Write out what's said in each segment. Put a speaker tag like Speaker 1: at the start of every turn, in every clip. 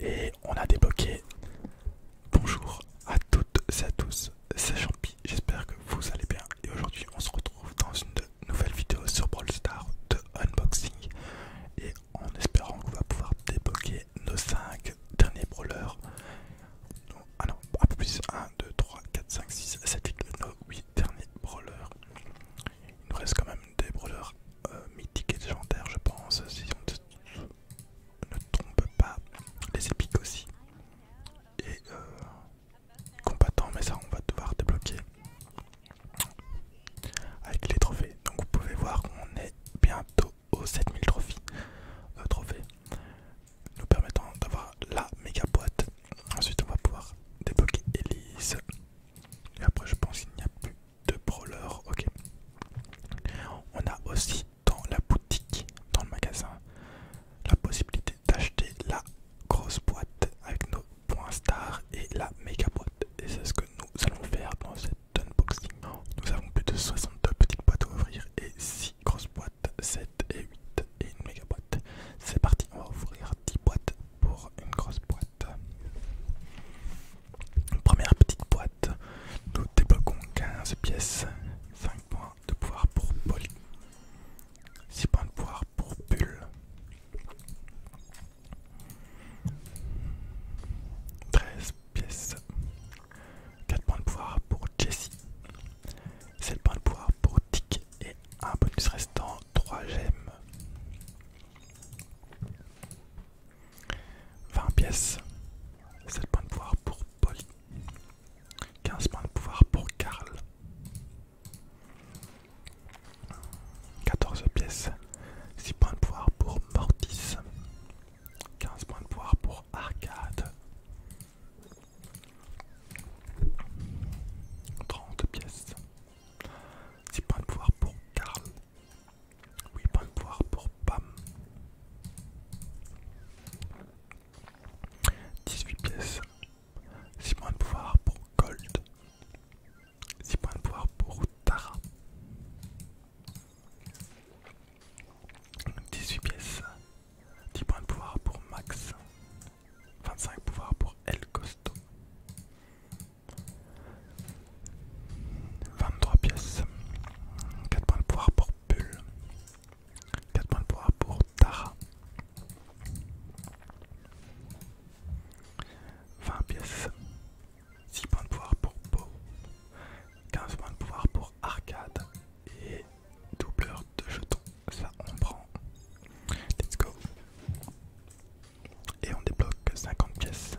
Speaker 1: Et on a débloqué. Bonjour à toutes et à tous, c'est Champi, j'espère que vous allez bien. Et aujourd'hui, on se retrouve dans une nouvelle vidéo sur Brawl Stars de unboxing. Et en espérant qu'on va pouvoir débloquer nos 5 derniers brawlers. ah non, un peu plus 1, 2, 3, 4, 5, 6, 7, 8, 8 derniers brawlers. Il nous reste quand même des brawlers euh, mythique et légendaire je pense, si on ne, trompe pas, les épiques aussi, et euh, combattant, mais ça on va devoir débloquer avec les trophées. Donc vous pouvez voir on est bientôt aux 7000 trophées euh, trophées, nous permettant d'avoir la méga boîte. Ensuite on va pouvoir débloquer Elise. Et après je pense qu'il n'y a plus de brawler ok. On a aussi dans la boutique, dans le magasin, la possibilité d'acheter la grosse boîte avec nos points stars et la méga boîte. Et c'est ce que nous allons faire dans cette unboxing. Nous avons plus de 62 petites boîtes à ouvrir et 6 grosses boîtes, 7 et 8 et une méga boîte. C'est parti, on va ouvrir 10 boîtes pour une grosse boîte. Première petite boîte, nous débloquons 15 pièces, 5 points de pouvoir pour Polly. 6 points de pouvoir pour Pull. 13 pièces. 4 points de pouvoir pour Jessie. 7 points de pouvoir pour Tic et un bonus restant 3 gemmes. 20 pièces, 7 points de pouvoir pour Polly, 15 points de pouvoir pour Karl, 14 pièces, 6 points de pouvoir pour Mortis, 15 points de pouvoir pour Arcade, 30 pièces, 10 points de pouvoir pour Karl. 8 points de pouvoir pour Pam. 18 pièces. 6 points de pouvoir pour Gold. 6 points de pouvoir pour Tara. 18 pièces. 10 points de pouvoir pour Max. 25 pouvoirs pour El Costo. 23 pièces. 4 points de pouvoir pour Pull, 4 points de pouvoir pour Tara. 20 pièces. 6 points de pouvoir pour Beau. 15 points de pouvoir pour Arcade. Et doubleur de jetons ça on prend. Let's go. Et on débloque 50 pièces.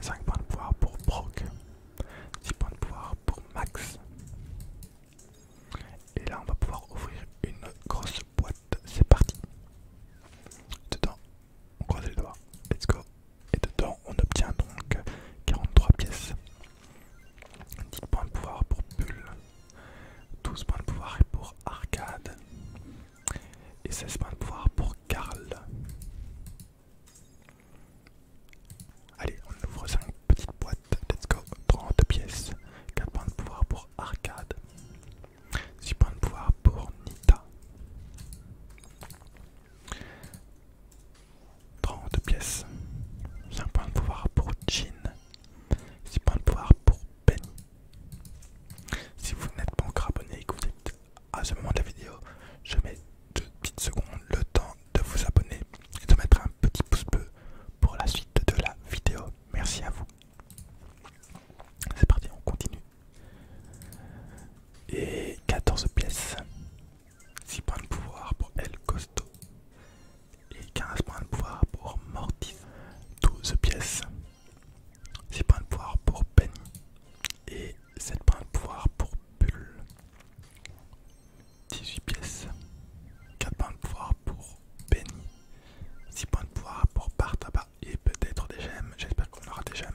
Speaker 1: 5 points de pouvoir pour Brock. 6 points de pouvoir pour Max. Et là on va pouvoir ouvrir une grosse boîte. C'est parti. Dedans, on croise les doigts. Let's go. Et dedans on obtient donc 43 pièces. 10 points de pouvoir pour Bull. 12 points de pouvoir pour Arcade et 16 points de pouvoir pour Karl. Allez, on ouvre 5 petites boîtes, let's go, 30 pièces, 4 points de pouvoir pour Arcade, 6 points de pouvoir pour Nita, 30 pièces, 5 points de pouvoir pour Jin, 6 points de pouvoir pour Penny. Si vous n'êtes pas encore abonné et que vous êtes à ce moment de la vidéo, je mets deux petites secondes le temps de vous abonner et de mettre un petit pouce bleu pour la suite de la vidéo. Merci à vous. C'est parti, on continue. Et 14 pièces. 6 points de pouvoir pour El Costo et 15 points de pouvoir pour Mortis. 12 pièces, 6 points de pouvoir pour Penny et 7 points de pouvoir pour Bull. 18 pièces, 4 points de pouvoir pour Penny, 6 points de pouvoir pour tabac et peut-être des gemmes. J'espère qu'on aura des gemmes.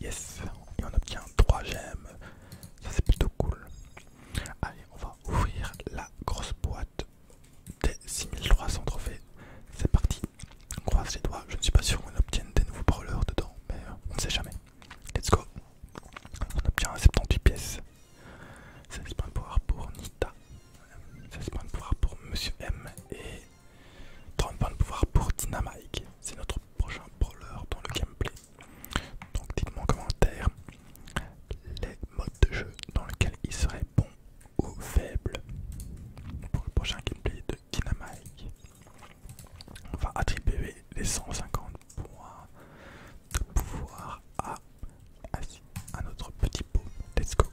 Speaker 1: Yes, et on obtient 3 gemmes. Ça c'est plutôt cool. Allez, on va ouvrir la grosse boîte des 6300 trophées. C'est parti. On croise les doigts. Je ne suis pas sûr qu'on obtienne des nouveaux brawlers dedans, mais euh, on ne sait jamais. Let's go. On obtient 78 pièces. 16 points de pouvoir pour Nita. 16 points de pouvoir pour Monsieur M. Et 30 points de pouvoir pour dynamite C'est notre prochain brawler dans le gameplay. Donc dites-moi en commentaire les modes de jeu dans lesquels il serait bon ou faible pour le prochain gameplay de Dynamite. On va attribuer les 150 points de pouvoir à, à notre petit pot. Let's go.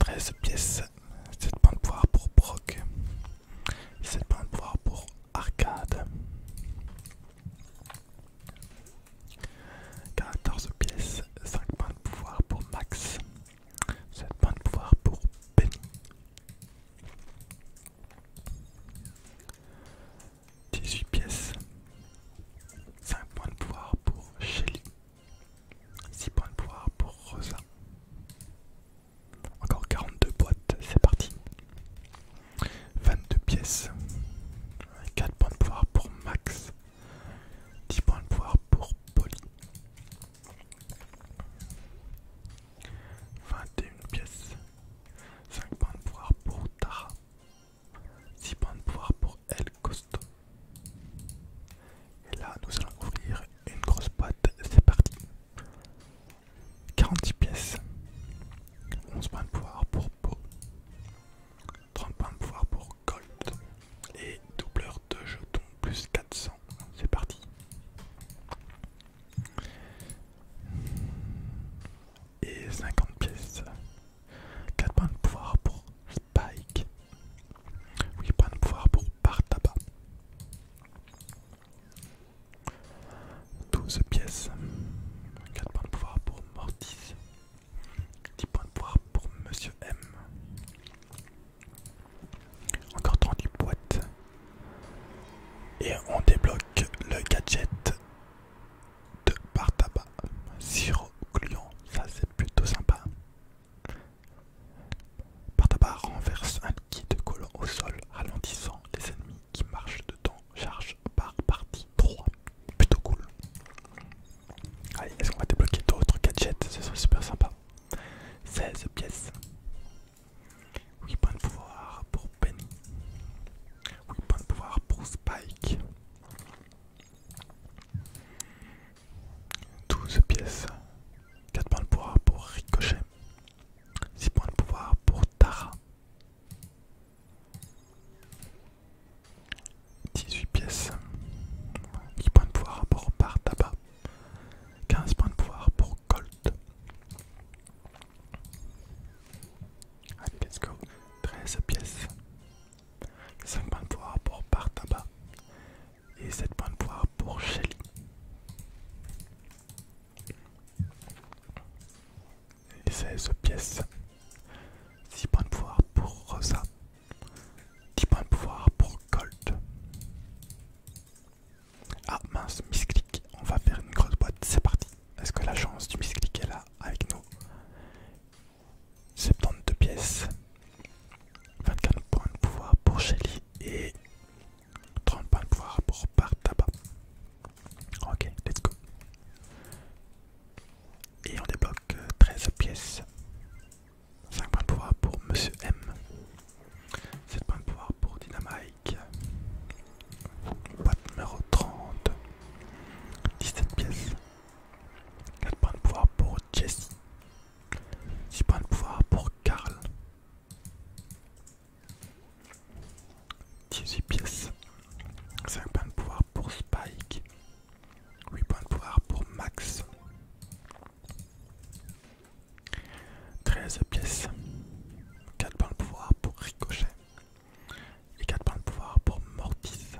Speaker 1: 13 pièces, 7 points de pouvoir pour Brock, 7 points de pouvoir pour arcade. 14 pièces, 5 points de pouvoir pour Max, 7 points de pouvoir pour Penny. 18 pièces, 5 points de pouvoir pour Shelly, 6 points de pouvoir pour Rosa. Encore 42 boîtes, c'est parti. 22 pièces, 4 points de pouvoir pour Max, 10 points de pouvoir pour Polly, 21 pièces, 5 points de pouvoir pour Tara, 6 points de pouvoir pour El Costo. Et là, nous allons ouvrir une grosse boîte, c'est parti. 46 pièces, 11 points de pouvoir pour Po 30 points de pouvoir pour Colt et doubleur de jetons plus 400. C'est parti. Et 50 pièces, 4 points de pouvoir pour Spike, 8 points de pouvoir pour Bartaba. 12 pièces, 4 points de pouvoir pour Mortis, 10 points de pouvoir pour Monsieur M. Encore 30 boîtes. Et on débloque le gadget de Partaba tabac. Sirop ça c'est plutôt sympa. Partaba renverse un kit de collant au sol, ralentissant les ennemis qui marche dedans charge par partie 3 plutôt cool allez est-ce qu'on va débloquer d'autres gadgets ce serait super sympa 16 pièces 8 points de pouvoir pour Penny 8 points de pouvoir pour Spike 12 pièces 4 points de pouvoir pour Ricochet 6 points de pouvoir pour Tara 18 pièces, 10 points de pouvoir pour Bartaba, 15 points de pouvoir pour Colt. Allez, let's 13 pièces, 5 points de pouvoir pour Bartaba et 7 points de pouvoir pour Shelly. 16 pièces. 6 points de pouvoir pour Rosa. 10 points de pouvoir pour Gold. Ah mince, Click. On va faire une grosse boîte. C'est parti. Est-ce que la chance du Clique est là avec nous 72 pièces. 24 points de pouvoir pour Shelly et 30 points de pouvoir pour par Ok, let's go. Et on débloque 13 euh, pièces. 5 points de pouvoir pour Monsieur M. 7 points de pouvoir pour Dynamite Boîte numéro 30. 17 pièces. 4 points de pouvoir pour Jessie. 6 points de pouvoir pour Karl. 18 pièces. 5 points de pouvoir pour Spike. 8 points de pouvoir pour Max. 13 pièces. 4 points de pouvoir pour Ricochet. Et 4 points de pouvoir pour Mortis.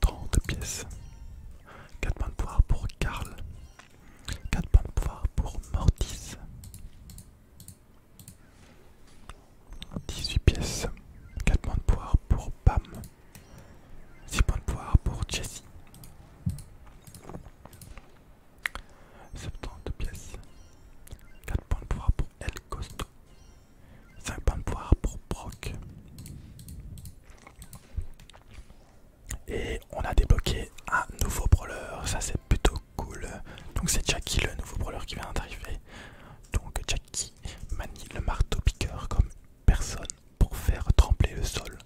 Speaker 1: 30 pièces. 4 points de pouvoir pour Karl. 4 points de pouvoir pour Mortis. 18 pièces. 4 points de pouvoir pour Pam. 6 points de pouvoir pour Jessie. 72 pièces. 4 points de pouvoir pour El Costo. 5 points de pouvoir pour Brock. Et on a débloqué un nouveau brawler, ça c'est plutôt cool. Donc c'est Jackie le nouveau brawler qui vient d'arriver. Donc Jackie manie le marteau piqueur comme personne pour faire trembler le sol.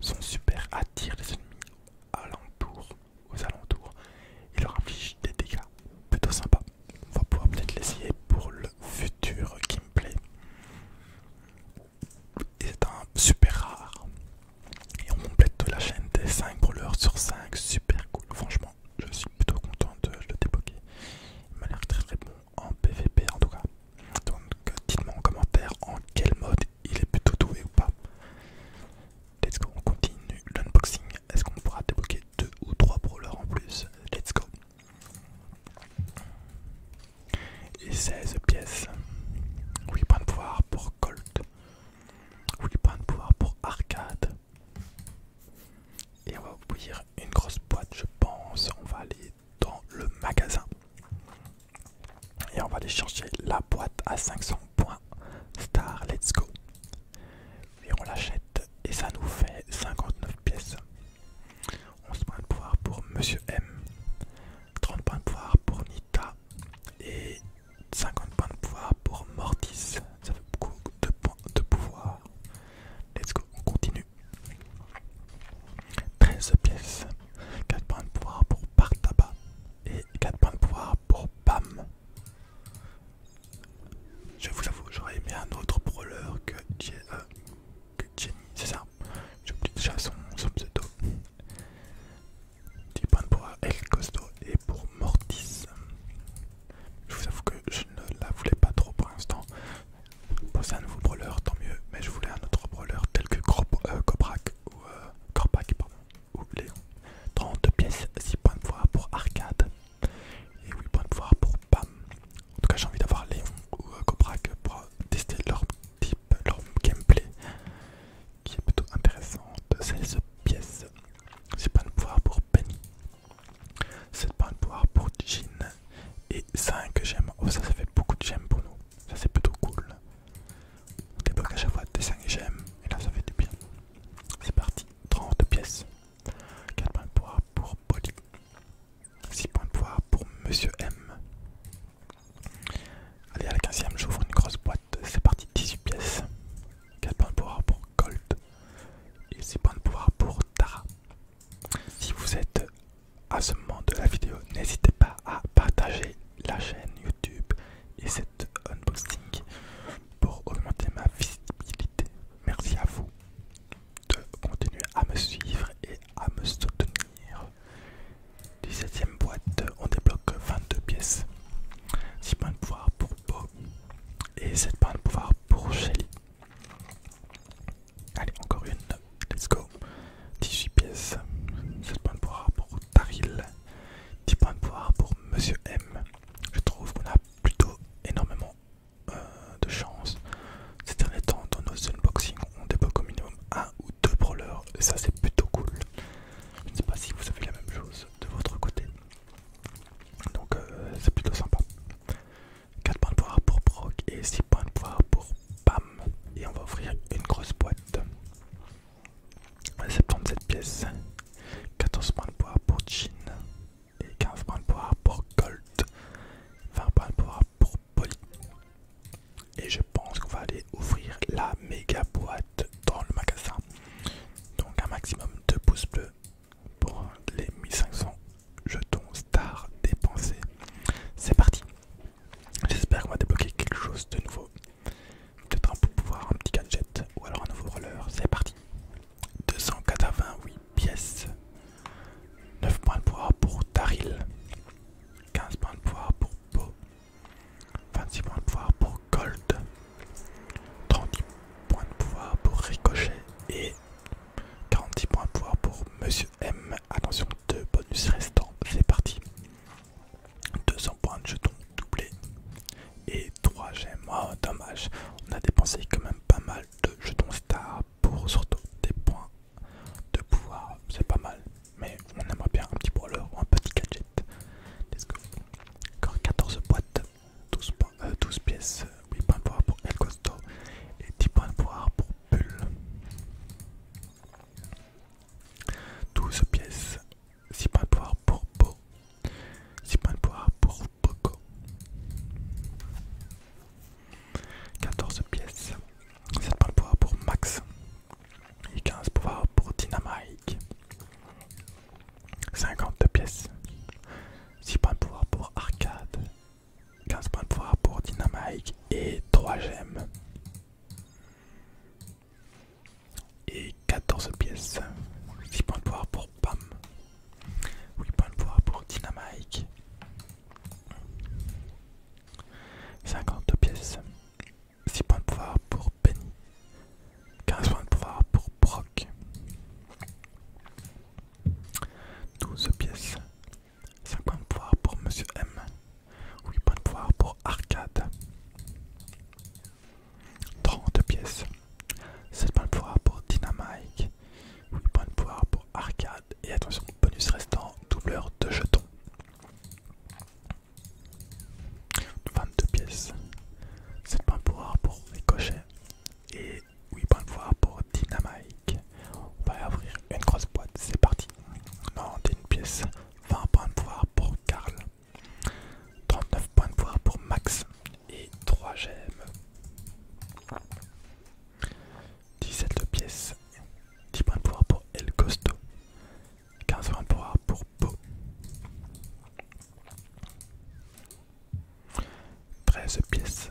Speaker 1: Son super attire les ennemis aux alentours et leur inflige des dégâts. Plutôt sympa. On va pouvoir peut-être l'essayer pour le futur gameplay est un super rare. Et on complète la chaîne des 5 brawlers sur 5, super cool. Franchement, je suis plutôt content de le débloquer. Il m'a l'air très très bon en PVP en tout cas. Donc dites-moi en commentaire en quel mode il est plutôt doué ou pas. Let's go, on continue l'unboxing. Est-ce qu'on pourra débloquer 2 ou 3 brawlers en plus Let's go. Et 16 pièces. 8 points de pouvoir pour Colt. 8 points de pouvoir pour Arcade. Et on va ouvrir une grosse boîte, je pense. On va aller dans le magasin. Et on va aller chercher la boîte à 500 points. Star, let's go. Et on l'achète. Et ça nous fait 59 pièces. 11 points de pouvoir pour Monsieur M, 30 points de pouvoir pour Nita et 50 points de pouvoir pour Mortis. Ça fait beaucoup de points de pouvoir. Let's go, on continue. 13 pièces, 4 points de pouvoir pour Partaba et 4 points de pouvoir pour Pam. Je vous avoue, j'aurais aimé un autre brawler que JE e que Jenny, c'est ça. J'oublie déjà son, pseudo. 10 points de pour El Costo et pour Mortis. Je vous avoue que je ne la voulais pas trop pour l'instant. Poser un nouveau brawler, tant mieux, mais je voulais un autre brawler tel que euh, Coprak ou euh, pardon, ou Léon. 32 pièces, 6 points de voir pour Arcade et 8 points de voir pour Pam. En tout cas, j'ai envie d'avoir Léon ou euh, Cobra pour euh, tester leur type, leur gameplay qui est plutôt intéressante. 16 pièces, c'est pas de pouvoir pour Penny, 7 points de pouvoir pour Jin et 5 gemmes. Oh, ça, ça fait beaucoup de gemmes pour nous. Ça, c'est plutôt cool. On à chaque fois des 5 gemmes et là, ça fait du bien. C'est parti, 30 pièces. 4 points de pouvoir pour Polly. 6 points de pouvoir pour Monsieur M. Allez, à la 15ème, j'ouvre une grosse boîte. C'est parti, 18 pièces. 4 points de pouvoir pour Gold. Et 6 points de pouvoir pour Tara. Si vous êtes à ce moment de la vidéo, n'hésitez pas à partager la chaîne YouTube et cette unboxing pour augmenter ma visibilité. Merci à vous de continuer à me suivre et à me soutenir. 17ème boîte, on débloque 22 pièces. 6 points de pouvoir pour Beau et 7 points de pouvoir pour Shelly. Allez, encore une, let's go. 18 pièces, 7 points de pouvoir pour Taril, 10 points de pouvoir pour Monsieur M. Je trouve qu'on a plutôt énormément euh, de chance. Ces derniers temps, dans nos unboxings, on débloque au minimum un ou deux brawlers, et ça c'est plutôt cool. Je ne sais pas si vous avez la même chose de votre côté, donc euh, c'est plutôt sympa. 4 points de pouvoir pour Brock et 6 points de pouvoir pour Bam. et on va offrir une grosse boîte. 77 pièces, 14 points de pouvoir pour Jean, et 15 points de pouvoir pour Gold, 20 points de pouvoir pour Poly. Et je pense qu'on va aller ouvrir la méga boîte dans le magasin. Donc un maximum de pouces bleus pour les 1500 jetons Star dépensés. C'est parti. J'espère qu'on va débloquer quelque chose de nouveau. Peut-être un pouvoir, un petit gadget ou alors un nouveau roller. C'est parti. 288 pièces. 9 points de pouvoir pour Taril. 15 points de pouvoir pour Beau. 26 points de pouvoir pour Gold. 30 points de pouvoir pour Ricochet. Et 46 points de pouvoir pour Monsieur M. Attention, deux bonus restants. C'est parti. 200 points de jetons doublés. Et 3 gemmes. Oh, dommage. On a dépensé quand même pas mal de jetons stars pour surtout des points de pouvoir. C'est pas mal. Mais on aimerait bien un petit brawler ou un petit gadget. Let's go. Encore 14 boîtes, 12, 12 euh, pièces, 8 points de pouvoir pour El Costo et 10 points de pouvoir pour Bull. 12 pièces, 6 points de pouvoir pour Beau, 6 points de pouvoir pour Poco. 14 pièces. 7 points de pouvoir pour Max. Et 15 points pour Dynamite. 52 pièces. 6 points de pouvoir pour Arcade. 15 points de pouvoir pour Dynamite et 3 gemmes. 14 pièces. 6 points de pouvoir pour Pam. 8 points de pouvoir pour Dynamite. 50 pièces. 6 points de pouvoir pour Penny. 15 points de pouvoir pour Brock. 12 pièces. 5 points de pouvoir pour Monsieur M. 8 points de pouvoir pour Arcade. 32 pièces. 7 points de pouvoir pour Dynamite. 8 points de pouvoir pour Arcade. Et attention, bonus restant, doubleur de jetons. 22 pièces. 7 points de pouvoir pour Ricochet. Et 8 points de pouvoir pour Dynamite. On va ouvrir une grosse boîte, c'est parti. 91 pièces. 20 points de pouvoir pour Karl. 39 points de pouvoir pour Max et 3 gemmes. 17 pièces, 10 points de pouvoir pour El Costo, 15 points de pouvoir pour Po, 13 pièces,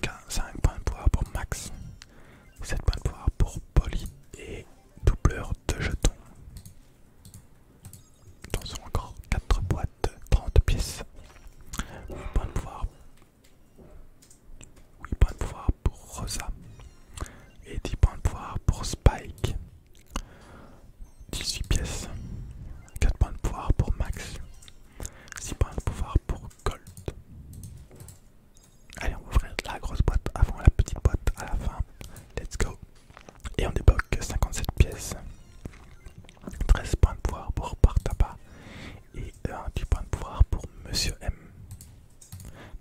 Speaker 1: 15, 5 points de pouvoir pour Max, 7 points de pouvoir pour Polly et doubleur de jetons. Dans encore 4 boîtes, 30 pièces. 8 points de pouvoir pour Rosa. Et 10 points de pouvoir pour Spike. 18 pièces. 4 points de pouvoir pour Max. 6 points de pouvoir pour Gold. Allez, on va ouvrir la grosse boîte avant la petite boîte à la fin. Let's go. Et on débloque 57 pièces, 13 points de pouvoir pour Bartaba et 10 points de pouvoir pour Monsieur M.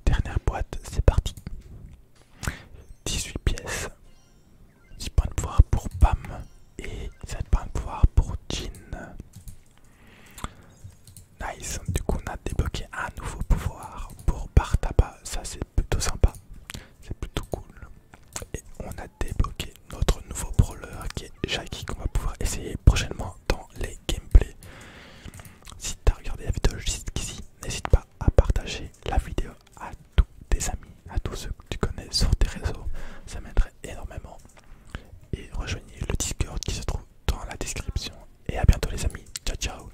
Speaker 1: Dernière boîte, c'est parti. 18 pièces, 10 points de pouvoir pour Pam et 7 points de pouvoir pour Jean. Nice, du coup on a débloqué un nouveau pouvoir pour Bartaba, ça c'est plutôt sympa c'est plutôt cool. Et on a débloqué notre nouveau brawler qui est Jackie qu'on va pouvoir essayer prochainement dans les gameplays. Si tu as regardé la vidéo jusqu'ici, n'hésite pas à partager la vidéo à tous tes amis, à tous ceux que tu connais sur tes réseaux, ça m'aiderait énormément. Et rejoignez le Discord qui se trouve dans la description. Et à bientôt les amis, ciao ciao